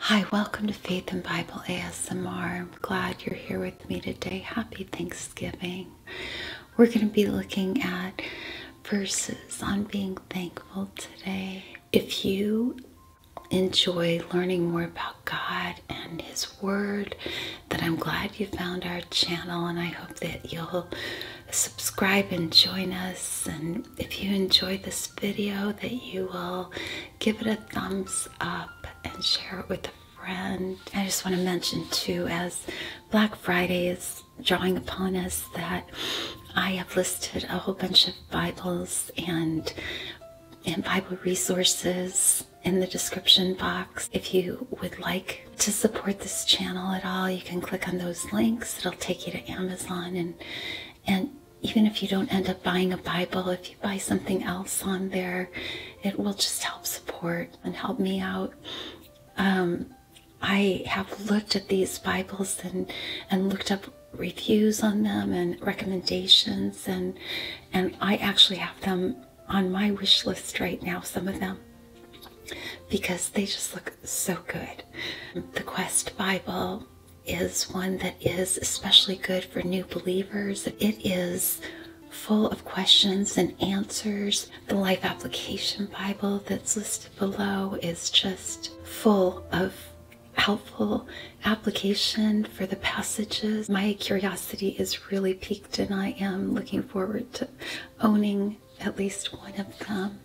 Hi, welcome to Faith and Bible ASMR. I'm glad you're here with me today. Happy Thanksgiving. We're going to be looking at verses on being thankful today. If you enjoy learning more about God and His Word, then I'm glad you found our channel and I hope that you'll subscribe and join us. And if you enjoy this video, that you will give it a thumbs up and share it with a friend. I just want to mention too, as Black Friday is drawing upon us, that I have listed a whole bunch of Bibles and and Bible resources in the description box. If you would like to support this channel at all, you can click on those links. It'll take you to Amazon and and even if you don't end up buying a Bible, if you buy something else on there, it will just help support and help me out. Um, I have looked at these Bibles and, and looked up reviews on them and recommendations and and I actually have them on my wish list right now, some of them, because they just look so good. The Quest Bible, is one that is especially good for new believers. It is full of questions and answers. The Life Application Bible that's listed below is just full of helpful application for the passages. My curiosity is really piqued, and I am looking forward to owning at least one of them.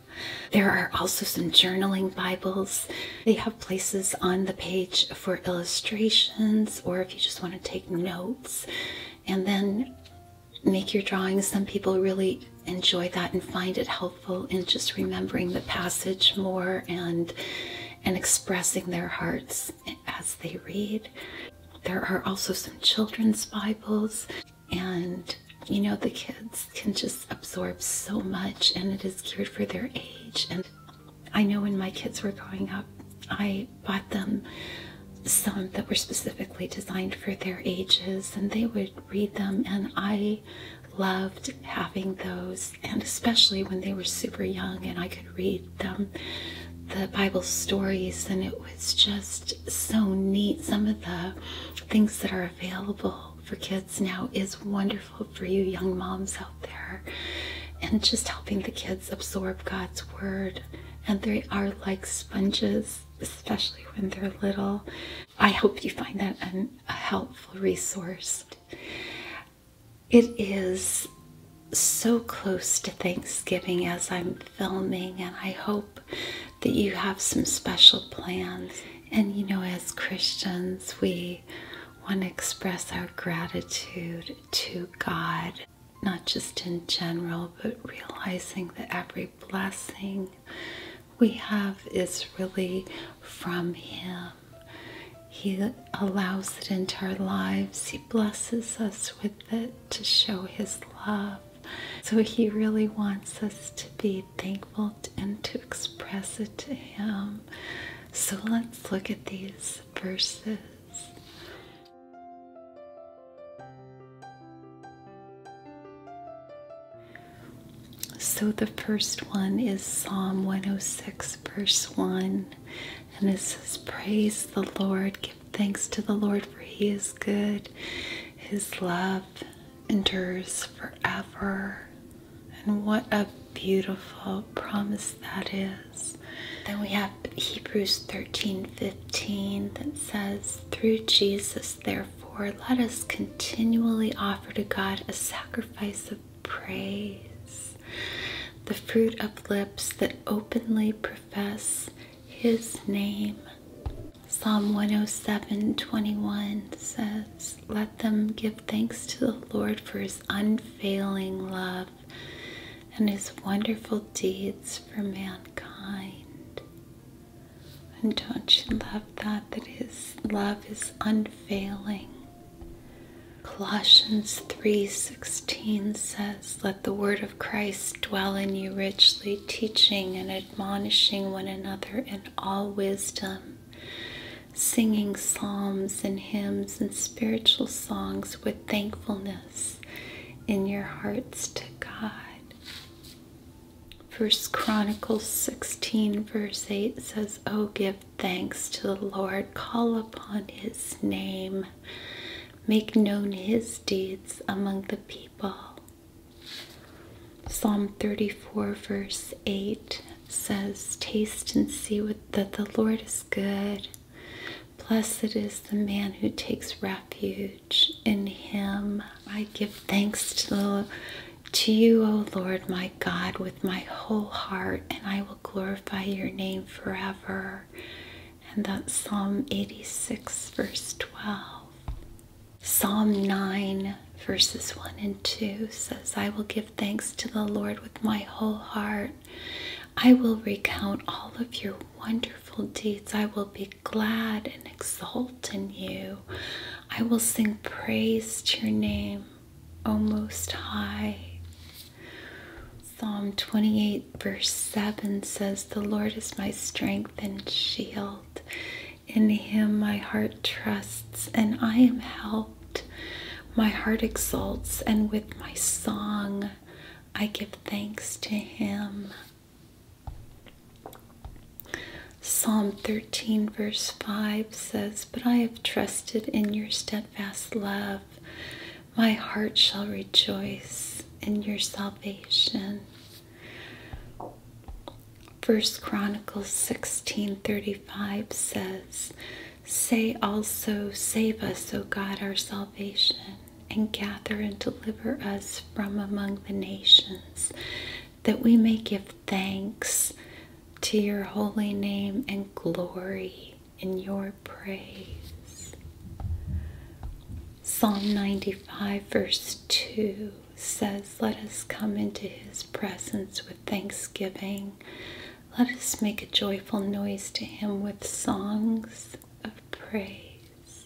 There are also some journaling Bibles they have places on the page for illustrations or if you just want to take notes and then make your drawings. Some people really enjoy that and find it helpful in just remembering the passage more and and expressing their hearts as they read. There are also some children's Bibles and you know the kids can just absorb so much and it is geared for their age and I know when my kids were growing up, I bought them some that were specifically designed for their ages, and they would read them, and I loved having those, and especially when they were super young and I could read them the Bible stories, and it was just so neat. Some of the things that are available for kids now is wonderful for you young moms out there and just helping the kids absorb God's word. And they are like sponges, especially when they're little. I hope you find that a helpful resource. It is so close to Thanksgiving as I'm filming, and I hope that you have some special plans. And you know, as Christians, we want to express our gratitude to God, not just in general, but realizing that every blessing we have is really from Him. He allows it into our lives, He blesses us with it to show His love. So He really wants us to be thankful and to express it to Him. So let's look at these verses. So the first one is Psalm 106, verse 1, and it says, Praise the Lord, give thanks to the Lord, for he is good, his love endures forever. And what a beautiful promise that is. Then we have Hebrews 13 15 that says, Through Jesus, therefore, let us continually offer to God a sacrifice of praise, the fruit of lips that openly profess His name. Psalm 107 21 says, let them give thanks to the Lord for his unfailing love and his wonderful deeds for mankind. And don't you love that? That his love is unfailing. Colossians 3:16 says, "Let the word of Christ dwell in you richly, teaching and admonishing one another in all wisdom." singing psalms and hymns and spiritual songs with thankfulness in your hearts to God. First Chronicle 16 verse 8 says, Oh, give thanks to the Lord, call upon his name, make known his deeds among the people. Psalm 34 verse 8 says, Taste and see that the Lord is good. Blessed is the man who takes refuge in him. I give thanks to, the, to you, O Lord my God, with my whole heart, and I will glorify your name forever. And that's Psalm 86, verse 12. Psalm 9, verses 1 and 2 says, I will give thanks to the Lord with my whole heart. I will recount all of your wonderful deeds. I will be glad and exult in you. I will sing praise to your name, O Most High. Psalm 28, verse 7 says, The Lord is my strength and shield. In him my heart trusts, and I am helped. My heart exults, and with my song I give thanks to him. Psalm 13, verse 5 says, But I have trusted in your steadfast love. My heart shall rejoice in your salvation. First Chronicles 16:35 says, Say also, Save us, O God, our salvation, and gather and deliver us from among the nations, that we may give thanks to your holy name and glory in your praise. Psalm 95, verse 2 says, Let us come into his presence with thanksgiving. Let us make a joyful noise to him with songs of praise.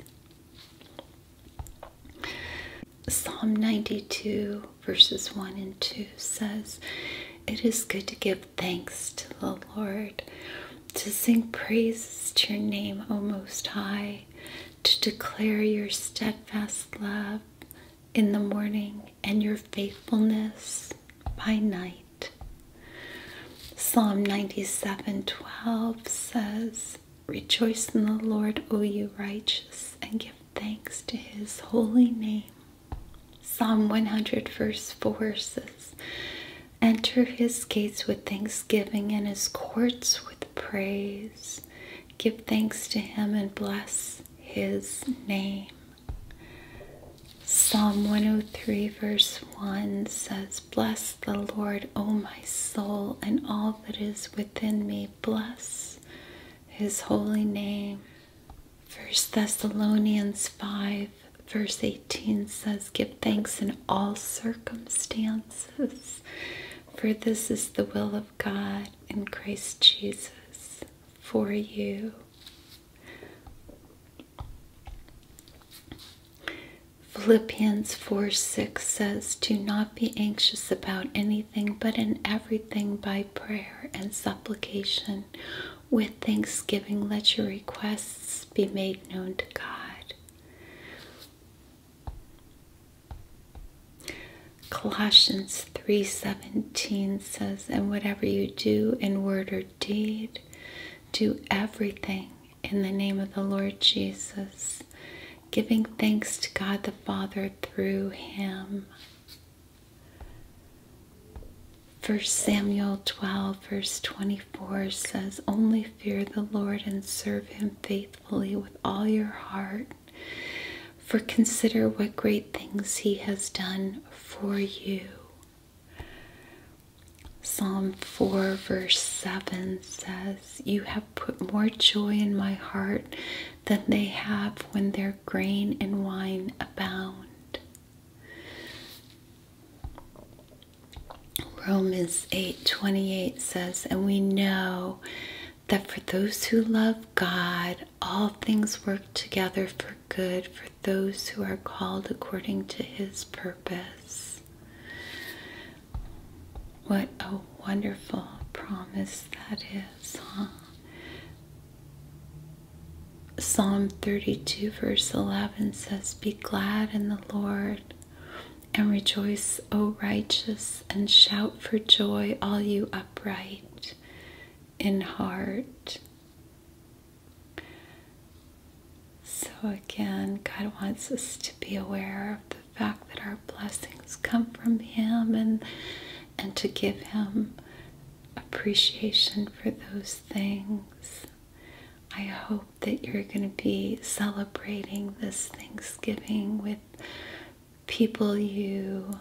Psalm 92, verses 1 and 2 says, It is good to give thanks to the Lord, to sing praises to your name, O Most High, to declare your steadfast love in the morning and your faithfulness by night. Psalm 97:12 says, "Rejoice in the Lord, O you righteous, and give thanks to his holy name." Psalm 100 verse 4 says, "Enter his gates with thanksgiving and his courts with praise. Give thanks to him and bless his name." Psalm 103, verse 1 says, Bless the Lord, O my soul, and all that is within me. Bless his holy name. First Thessalonians 5, verse 18 says, Give thanks in all circumstances, for this is the will of God in Christ Jesus for you. Philippians 4 6 says, Do not be anxious about anything, but in everything by prayer and supplication, with thanksgiving, let your requests be made known to God. Colossians 3:17 says, And whatever you do in word or deed. Do everything in the name of the Lord Jesus, giving thanks to God the Father through him. 1 Samuel 12, verse 24 says, Only fear the Lord and serve him faithfully with all your heart, for consider what great things he has done for you. Psalm 4, verse 7 says, You have put more joy in my heart than they have when their grain and wine abound. Romans 8 28 says, And we know that for those who love God, all things work together for good for those who are called according to his purpose. What a wonderful promise that is, huh? Psalm 32, verse 11 says, Be glad in the Lord and rejoice, O righteous, and shout for joy, all you upright in heart. So, again, God wants us to be aware of the fact that our blessings come from Him and, and to give Him appreciation for those things. I hope that you're going to be celebrating this Thanksgiving with people you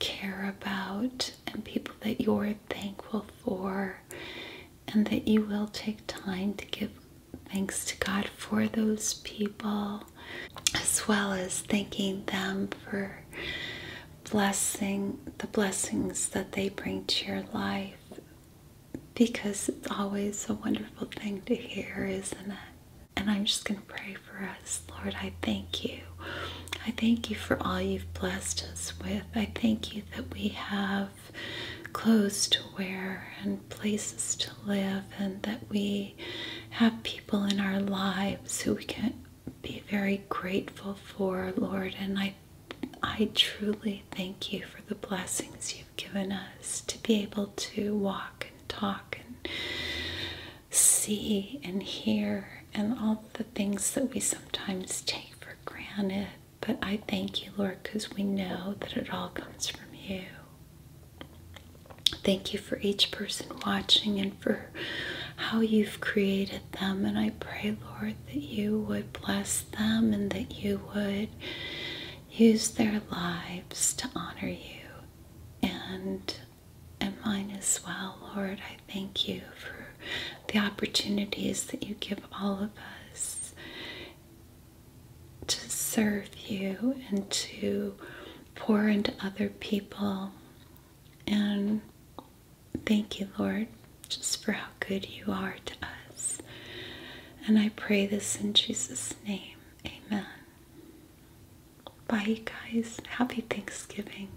care about and people that you're thankful for, and that you will take time to give thanks to God for those people, as well as thanking them for blessing the blessings that they bring to your life because it's always a wonderful thing to hear, isn't it? And I'm just going to pray for us. Lord, I thank you. I thank you for all you've blessed us with. I thank you that we have clothes to wear and places to live, and that we have people in our lives who we can be very grateful for, Lord. And I, I truly thank you for the blessings you've given us to be able to walk and talk and see and hear and all the things that we sometimes take for granted, but I thank you, Lord, because we know that it all comes from you. Thank you for each person watching and for how you've created them. And I pray, Lord, that you would bless them and that you would use their lives to honor you and and mine as well, Lord. I I thank you for the opportunities that you give all of us to serve you and to pour into other people. And thank you, Lord, just for how good you are to us. And I pray this in Jesus' name. Amen. Bye, guys. Happy Thanksgiving.